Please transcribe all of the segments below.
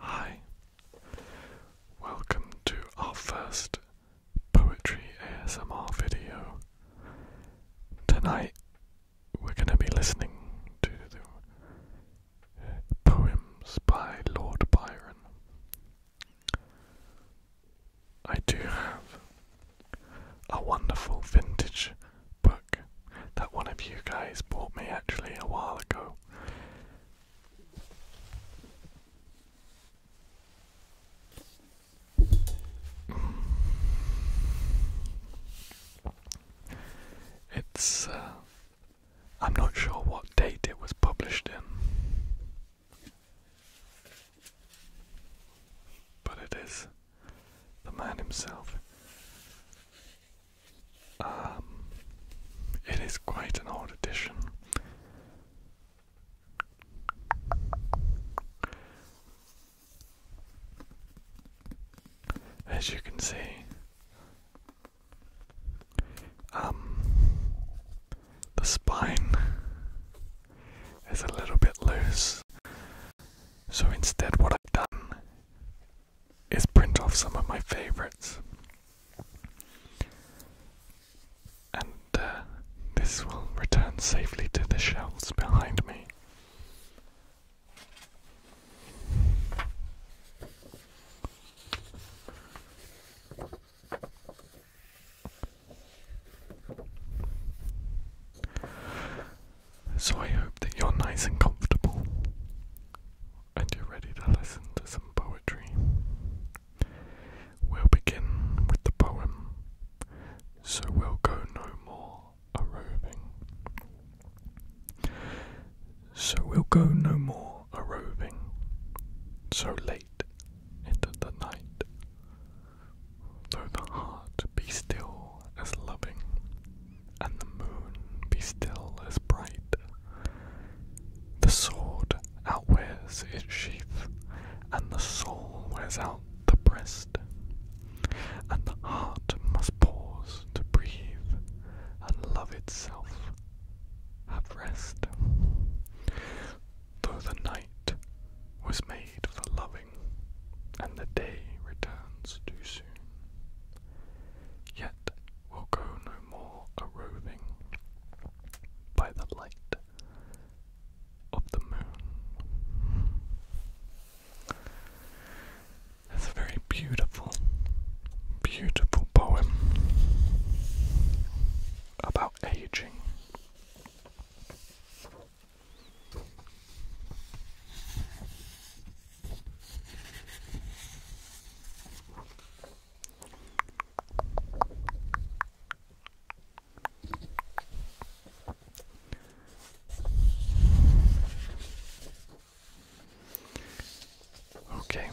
Hi, welcome to our first poetry ASMR video. Tonight we're going to be listening to the poems by Lord Byron. I do have a wonderful vintage book that one of you guys bought me actually a while ago. It's. Uh, I'm not sure what date it was published in, but it is the man himself. Um, it is quite an old edition. As you can see, um, the spine is a little bit loose. So instead, what I've done is print off some of my favorites and uh, this will return safely to the shelves behind me. So I hope that you're nice and comfortable and you're ready to listen to some poetry. We'll begin with the poem, so we'll go no more a roving. So we'll go no more a roving, so late into the night, though the heart be still as loving, and the moon be still as bright. The sword outwears its sheath, and the soul wears out the breast, and the heart must pause to breathe, and love itself have rest. Though the night was made for loving, and the day returns too soon, yet will go no more a roving by the light of the moon. It's a very beautiful, beautiful poem about aging. Okay.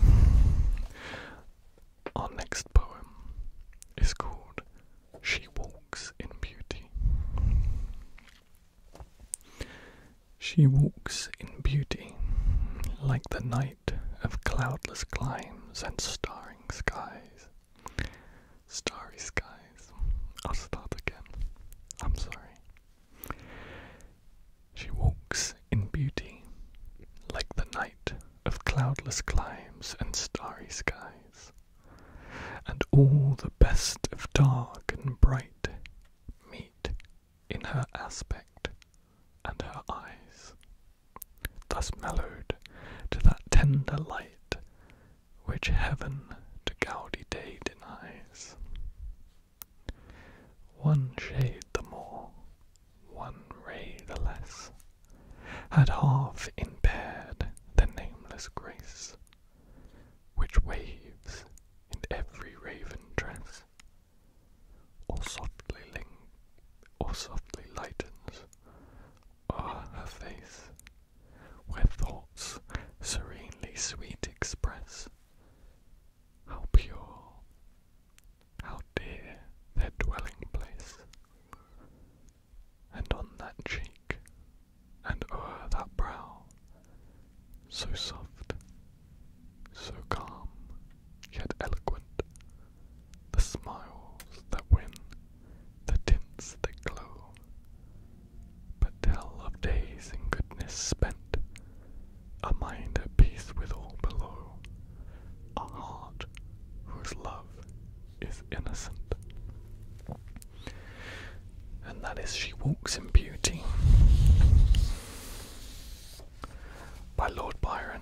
Our next poem is called She Walks in Beauty. She walks in beauty like the night of cloudless climes and starring skies. Starry skies. I'll start again. I'm sorry. She walks in beauty, like the night of cloudless climes and starry skies, and all the best of dark and bright meet in her aspect and her eyes thus mellowed to that tender light which heaven to gaudy day denies. One shade the more, one ray the less, had half impaired the nameless grace which waves in every raven dress, or softly ling or softly lightens o'er her face, where thoughts serenely sweet express how pure, how dear their dwelling place, and on that cheek and o'er that brow, so soft, so calm, yet eloquent the smiles that win, the tints that glow, but tell of days in goodness spent, a mind at peace with all below, a heart whose love is innocent. And that is She Walks in Beauty by Lord Byron.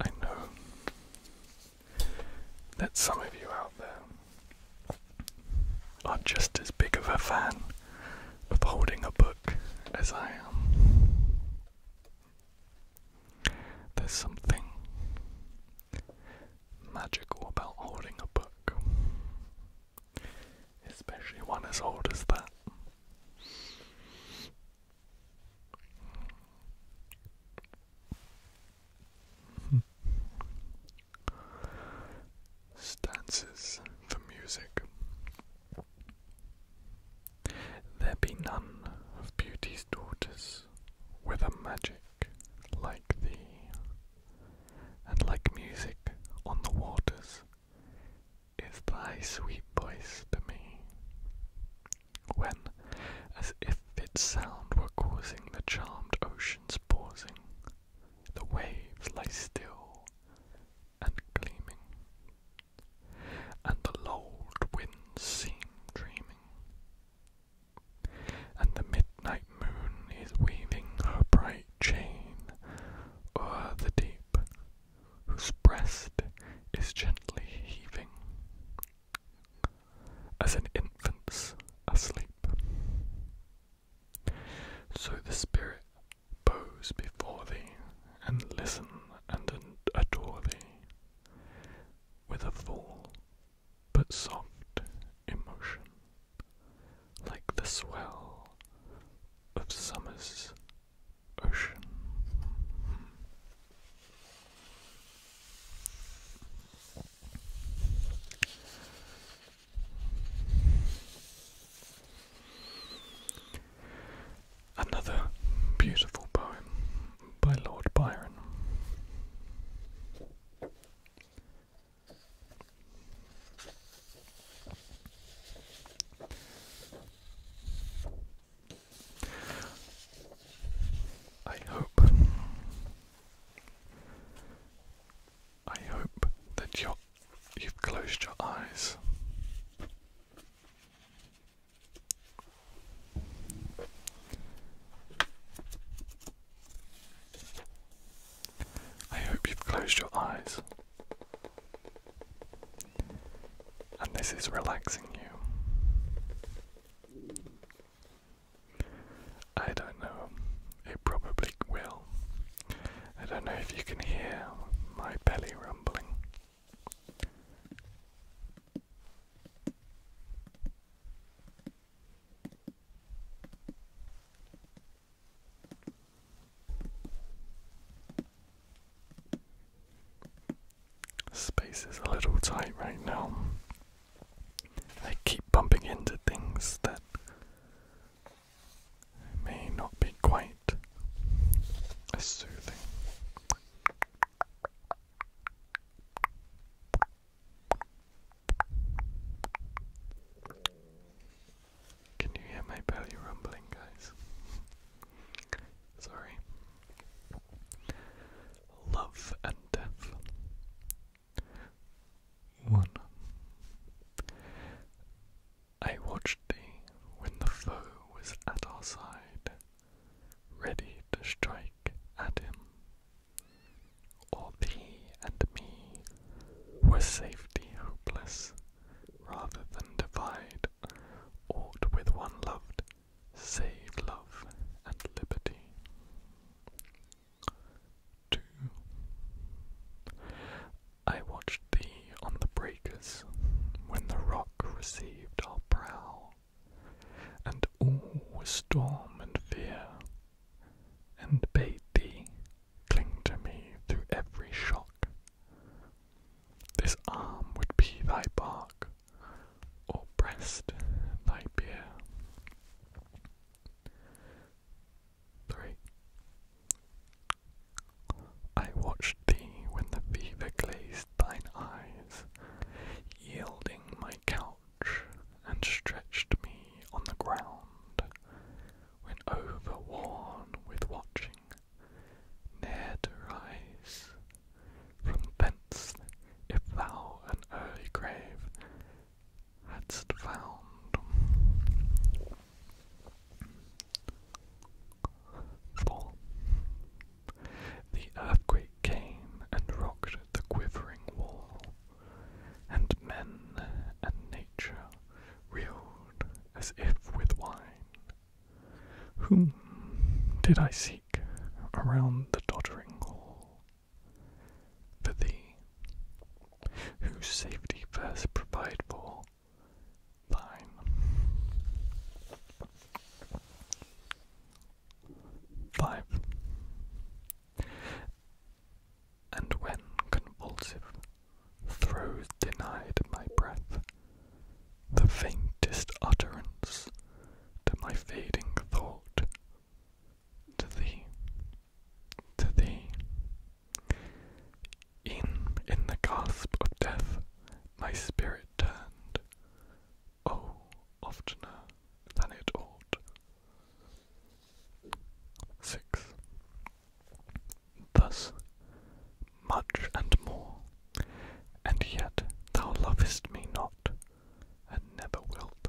I know that some of you out there are just as big of a fan of holding a book as I am. There's something magical about holding a book. Especially one as old as that. Stances for music. There be none of beauty's daughters with a magic like thee and like music on the waters is thy sweet voice to me. When, as if its sound were causing the charmed ocean's pausing, the waves lie still and gleaming, and the lulled winds seem dreaming, and the midnight moon is weaving her bright chain o'er the deep, whose breast is gently heaving, as an infant's asleep. So the Spirit bows before thee, and listen and adore thee, with a full but soft emotion like the swell of summer's ocean. Another beautiful poem by Lord Byron. I hope I hope that you you've closed your eyes. I hope you've closed your eyes and this is relaxing you. I don't know, it probably will. I don't know if you can hear my belly rumbling. Space is a little tight right now. I keep bumping into things that may not be quite soothing. Can you hear my belly rumbling, guys? Sorry. Love and death. One. I watched thee when the foe was at our side, ready to strike at him. All thee and me were safety hopeless, rather than divide aught with one loved, save love and liberty. 2. I watched thee on the breakers when the rock received our prow, and all was storm and fear and bade thee cling to me through every shock. This arm would be thy bark, or breast thy bier. 3. I watched thee when the fever glazed thine eyes, yielding my couch and stretched me on the ground, when overworn with watching, ne'er to rise. From thence, if thou an early grave hadst found, the earthquake came and rocked the quivering wall, and men and nature reeled as if with wine. Whom did I seek around the doddering hall? For thee, whose safety best provide for thine. Five. And when convulsive throes denied my breath, the faintest utterance to my fading thought, to thee, to thee. E'en in the gasp of death, my spirit turned, oh, oftener than it ought. 6. Thus much and more, and yet thou lovest me not, and never wilt.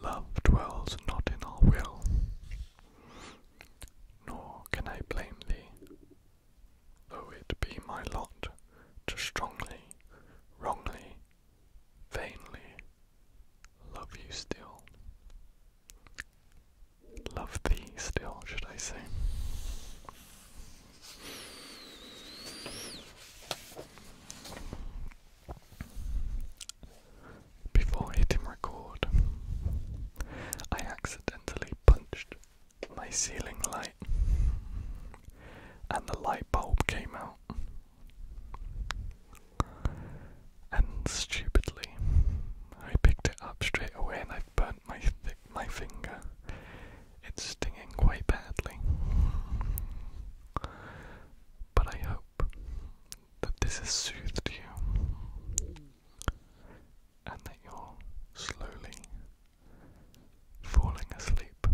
Love dwells not in our will, nor can I blame thee, though it be my lot to strongly, wrongly vainly love you still. Love thee still, should I say. Before hitting record, I accidentally punched my ceiling light and the light bulb came out. And stupidly, I picked it up straight away and i burnt my thick my finger. It's stinging quite badly. But I hope that this has soothed you and that you're slowly falling asleep.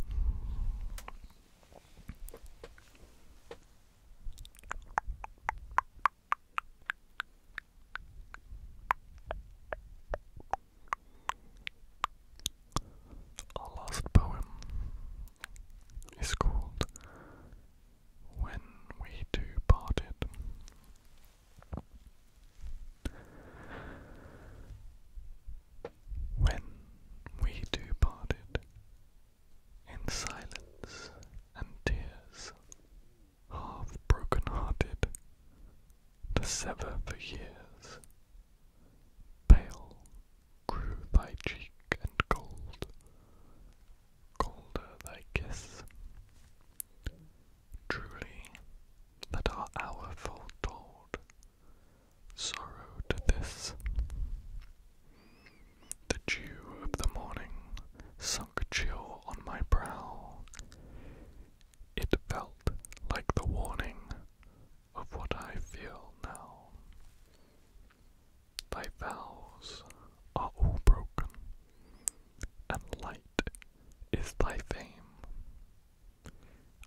Our last poem is called When We Do Parted. When we two parted, in silence and tears, half broken hearted, to sever for years. Pale grew thy cheek and cold, colder thy kiss. Truly, that our hour foretold sorrow to this. The dew of the morning sunk chill on my brow. It felt like the warning of what I feel now. Thy vows are all broken, and light is thy fame.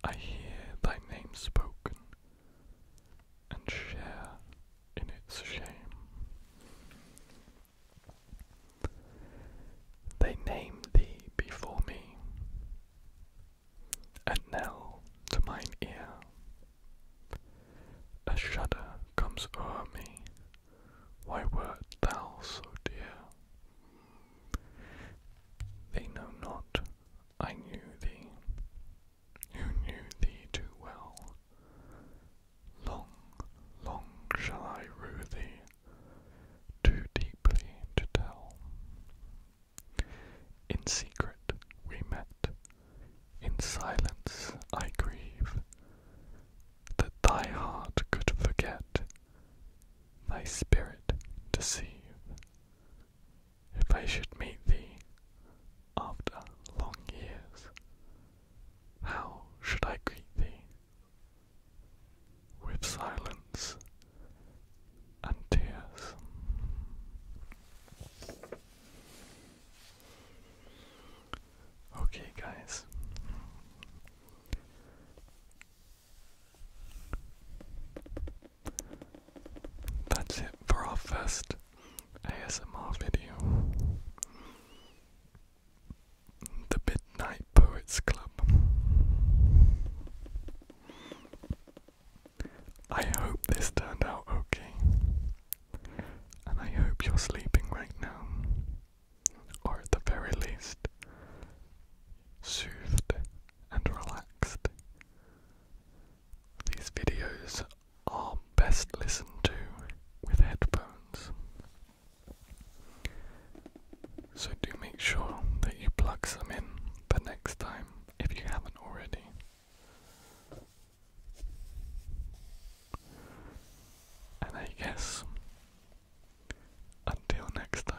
I hear thy name spoken and share in its shame. They name thee before me, a knell to mine ear. A shudder comes o'er me, why wert thou so dear? They know not I knew thee, who knew thee too well. Long, long shall I rue thee, too deeply to tell. In secret we met, in silence I grieve, that thy heart could forget, thy spirit deceive if I should meet thee after long years, how should I greet thee? With silence and tears. Okay, guys. That's it for our first ASMR video. The Midnight Poets Club. I hope this turned out okay. And I hope you're sleeping right now. Or at the very least, soothed and relaxed. These videos are best listened to with headphones. So do make sure that you plug some in the next time if you haven't already. And I guess until next time,